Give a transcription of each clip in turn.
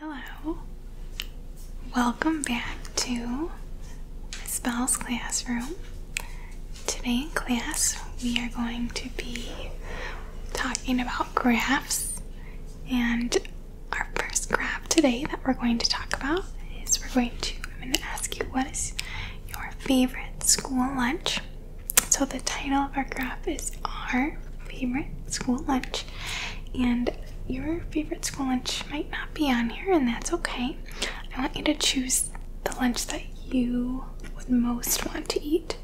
Hello. Welcome back to Miss Bell's classroom. Today in class, we are going to be talking about graphs. And our first graph today that we're going to talk about is we're going to, I'm going to ask you what is your favorite school lunch? So the title of our graph is Our Favorite School Lunch and your favorite school lunch might not be on here, and that's okay. I want you to choose the lunch that you would most want to eat.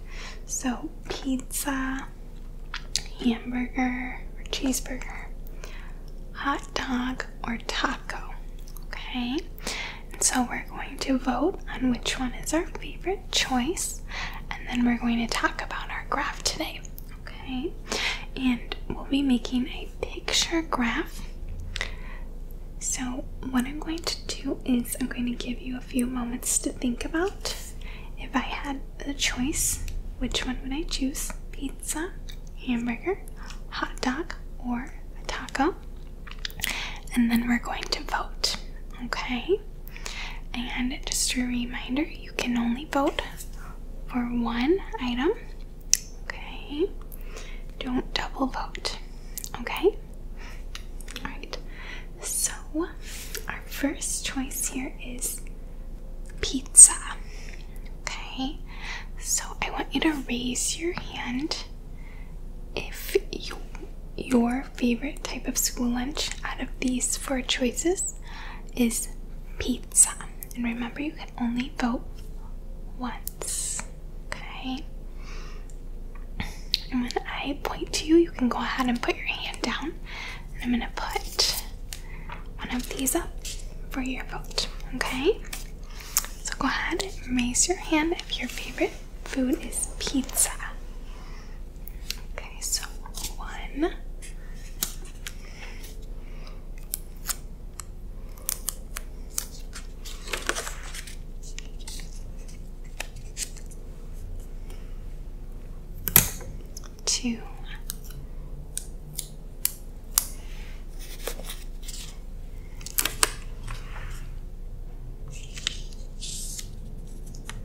So, pizza, hamburger, or cheeseburger, hot dog, or taco. Okay, and so we're going to vote on which one is our favorite choice, and then we're going to talk about our graph today. Okay, and we'll be making a picture graph. So, what I'm going to do is, I'm going to give you a few moments to think about if I had the choice, which one would I choose? Pizza, hamburger, hot dog, or a taco? And then we're going to vote. Okay? And just a reminder, you can only vote for one item. Okay. Don't double vote. Okay? Alright. So our first choice here is pizza. Okay. So I want you to raise your hand if your favorite type of school lunch out of these four choices is pizza. And remember, you can only vote once. Okay? And when I point to you, you can go ahead and put your hand down. And I'm going to put one of these up for your vote. Okay? So go ahead and raise your hand if your favorite food is pizza. Okay, so one. Two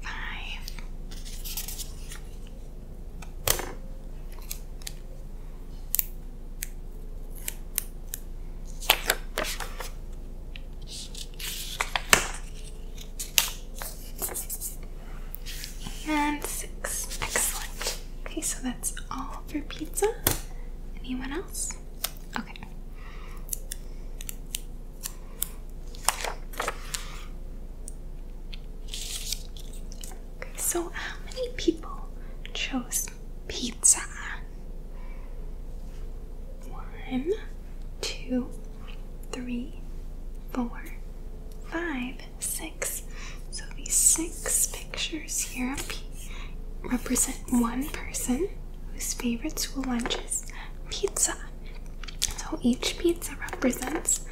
Five. And six. Excellent. Okay, so that's all for pizza? Anyone else? Okay. Okay, so how many people chose pizza? One, two, three, four, five, six. So these six pictures here represent one person whose favorite school lunch is pizza. So each pizza represents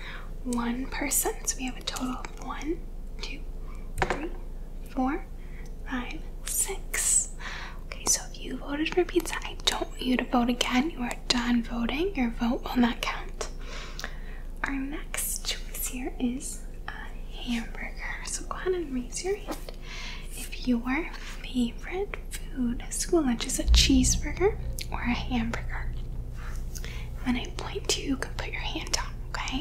one person. So we have a total of one, two, three, four, five, six. Okay, so if you voted for pizza, I don't want you to vote again. You are done voting. Your vote will not count. Our next choice here is a hamburger. So go ahead and raise your hand if your favorite food at school lunch is a cheeseburger or a hamburger. When I point to you, you can put your hand down, okay?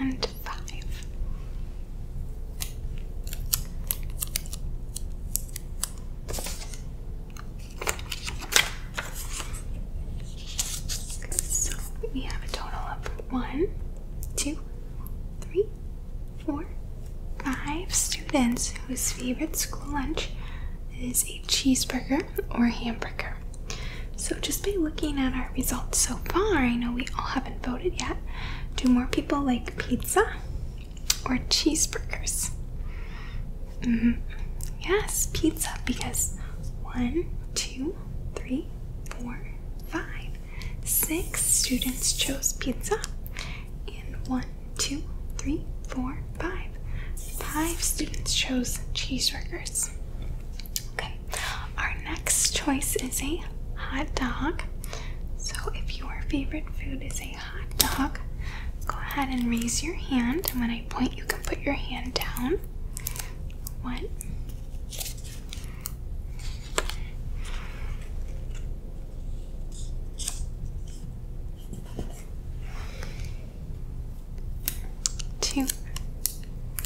and five. So we have a total of one, two, three, four, five students whose favorite school lunch is a cheeseburger or hamburger. So, just by looking at our results so far, I know we all haven't voted yet. Do more people like pizza or cheeseburgers? Mm-hmm. Yes, pizza, because one, two, three, four, five, six students chose pizza, and one, two, three, four, five, five students chose cheeseburgers. Okay, our next choice is a hot dog. So, if your favorite food is a hot dog, go ahead and raise your hand. And when I point, you can put your hand down. One. Two,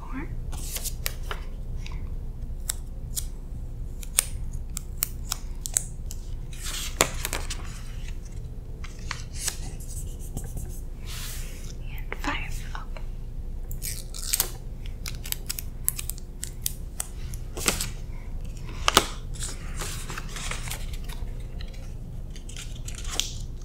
More. And five. Okay.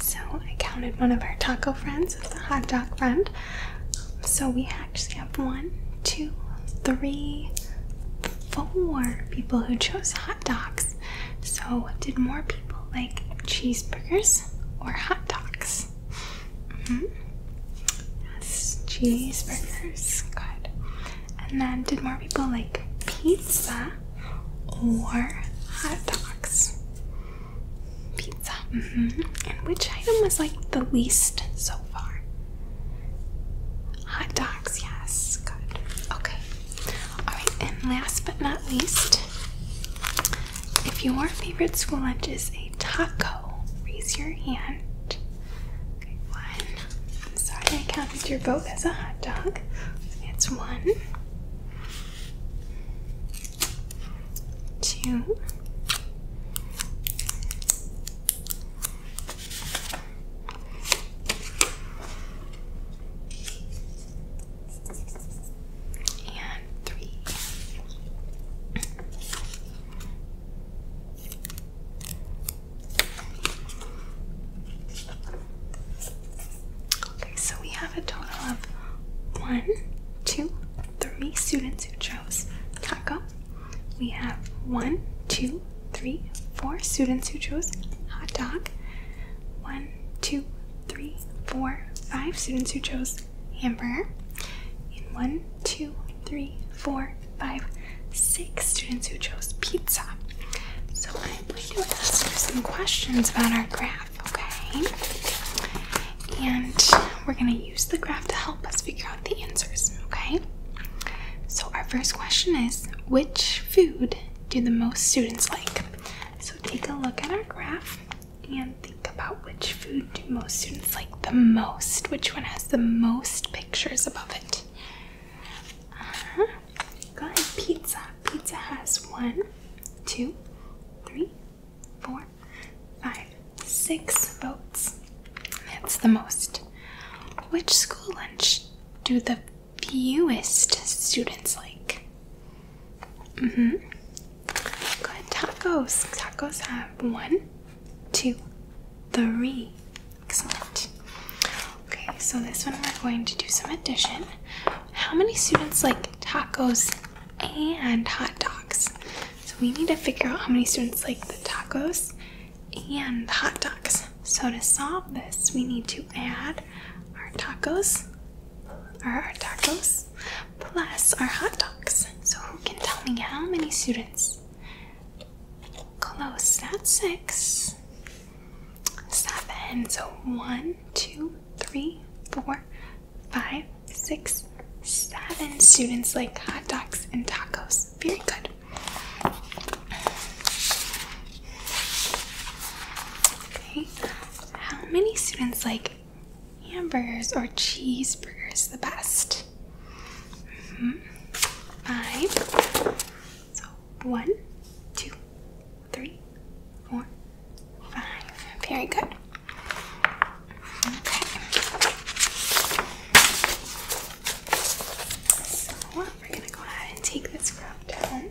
So I counted one of our taco friends as a hot dog friend. So we actually have one, two, three, four people who chose hot dogs. So did more people like cheeseburgers or hot dogs? Mm-hmm. Yes, cheeseburgers. Good. And then did more people like pizza or hot dogs? Pizza. Mm-hmm. And which item was like the least so far? Hot dogs, yes. Good. Okay. Alright, and last but not least, if your favorite school lunch is a taco, raise your hand. one. I'm sorry I counted your vote as a hot dog. It's one two, and three. Okay, so we have a total of one, two, three students who chose taco. We have one, two, three, four students who chose hot dog. One, two, three, four, five students who chose hamburger. And one, two, three, four, five, six students who chose pizza. So I'm going to ask you some questions about our graph okay? And we're gonna use the graph to help us figure out the answers, okay? So, our first question is which food do the most students like? So, take a look at our graph and think about which food do most students like the most? Which one has the most pictures above it? Uh huh. Good, pizza. Pizza has one, two, three, four, five, six votes. That's the most. Which school lunch do the fewest students like? Mm-hmm. Good tacos. Tacos have one, two, three. Excellent. Okay, so this one we're going to do some addition. How many students like tacos and hot dogs. So we need to figure out how many students like the tacos and the hot dogs. So to solve this, we need to add our tacos or our tacos plus our hot dogs. So who can tell me how many students? Close. That's six. Seven. So one, two, three, four, five, six, seven students like hot dogs and tacos. Very good. Okay, how many students like hamburgers or cheeseburgers the best? Mm-hmm. Five. So one, two, three, four, five. Very good. Okay. So we're gonna go ahead and take this route down.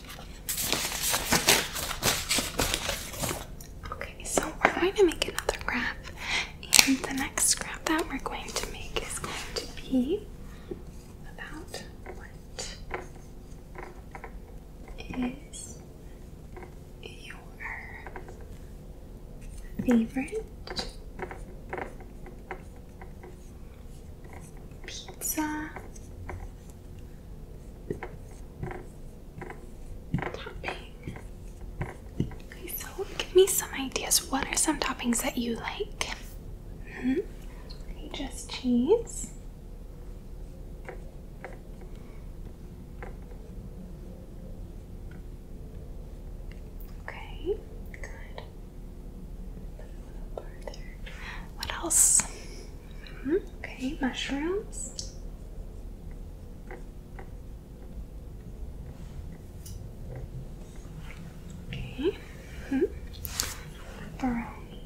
Okay, so we're going to make another graph, and the next graph that we're going to make is going to be about what is your favorite pizza Topping. Okay, so give me some ideas. What are some toppings that you like? -hmm. just cheese. Okay, good. Put a little further. What else? Okay, mushrooms. Okay. -hmm. Pepperoni.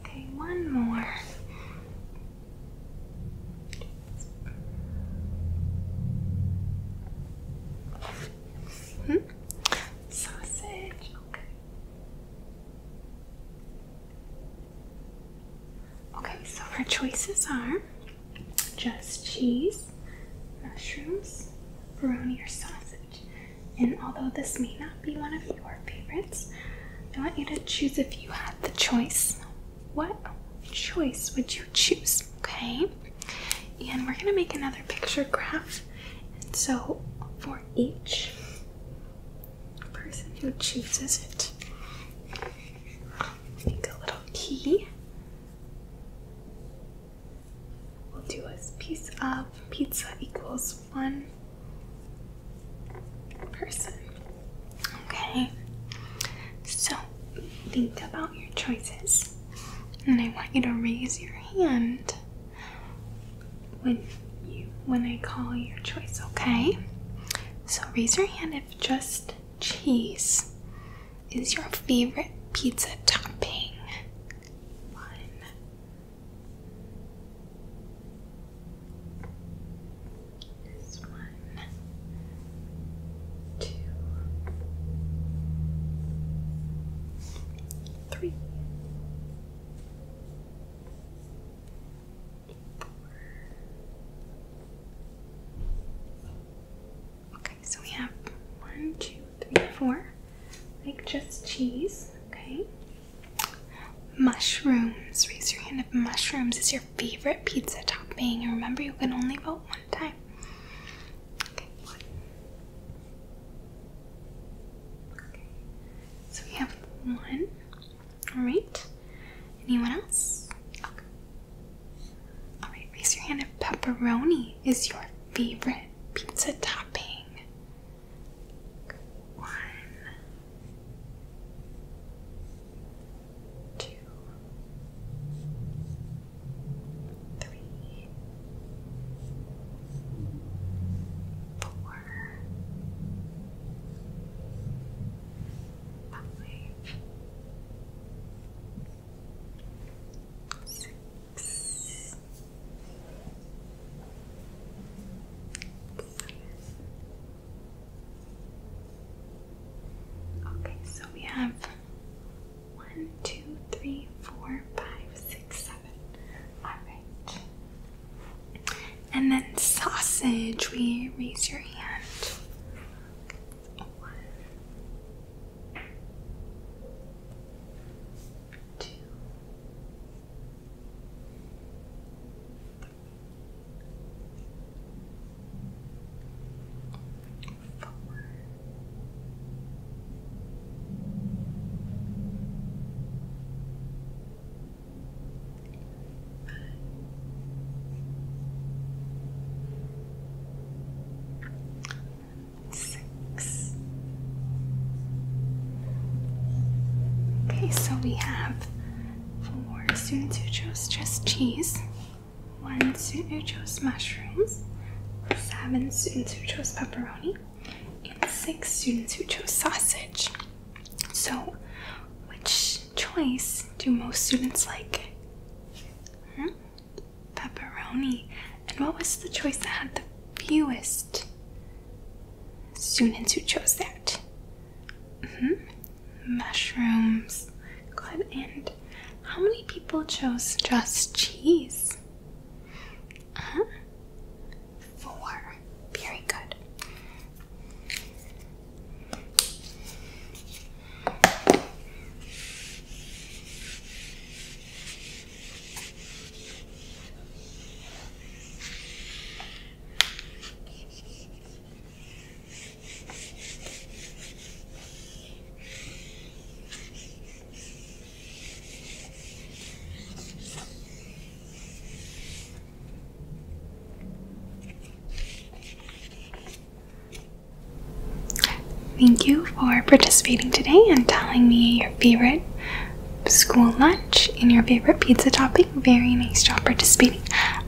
Okay, one more. -hmm. Sausage, okay. Okay, so our choices are just cheese, mushrooms, oroni, or sausage. And although this may not be one of your favorites, I want you to choose if you had the choice. What choice would you choose? Okay, and we're gonna make another picture graph. so, for each person who chooses it, make a little key. We'll do a piece of pizza equals one person. Okay, so think about your choices and I want you to raise your hand when you when I call your choice, okay? So raise your hand if just cheese is your favorite pizza topping. One. This one two, three, four. Okay, so we have one, two, three, four, like just cheese, okay? Mushrooms. Raise your hand if mushrooms is your favorite pizza topping. And remember, you can only vote time. Okay, one. Okay. So we have one. Alright. Anyone else? Okay. Alright, raise your hand if pepperoni is your favorite pizza topping. One. Two three, four, five, six, seven. Okay, so we have one, two, three, four, five, six, seven. Alright. And then sausage, we raise your hand. One, two, forward. Okay, so we have four students who chose just cheese. One student chose mushrooms, seven students chose pepperoni, and six students chose sausage. So, which choice do most students like? Hmm? Pepperoni. And what was the choice that had the fewest students who chose that? Mm hmm Mushrooms. And how many people chose just cheese? Uh-huh. Four. Very good. Thank you for participating today and telling me your favorite school lunch and your favorite pizza topping. Very nice job participating.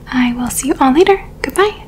I will see you all later. Goodbye.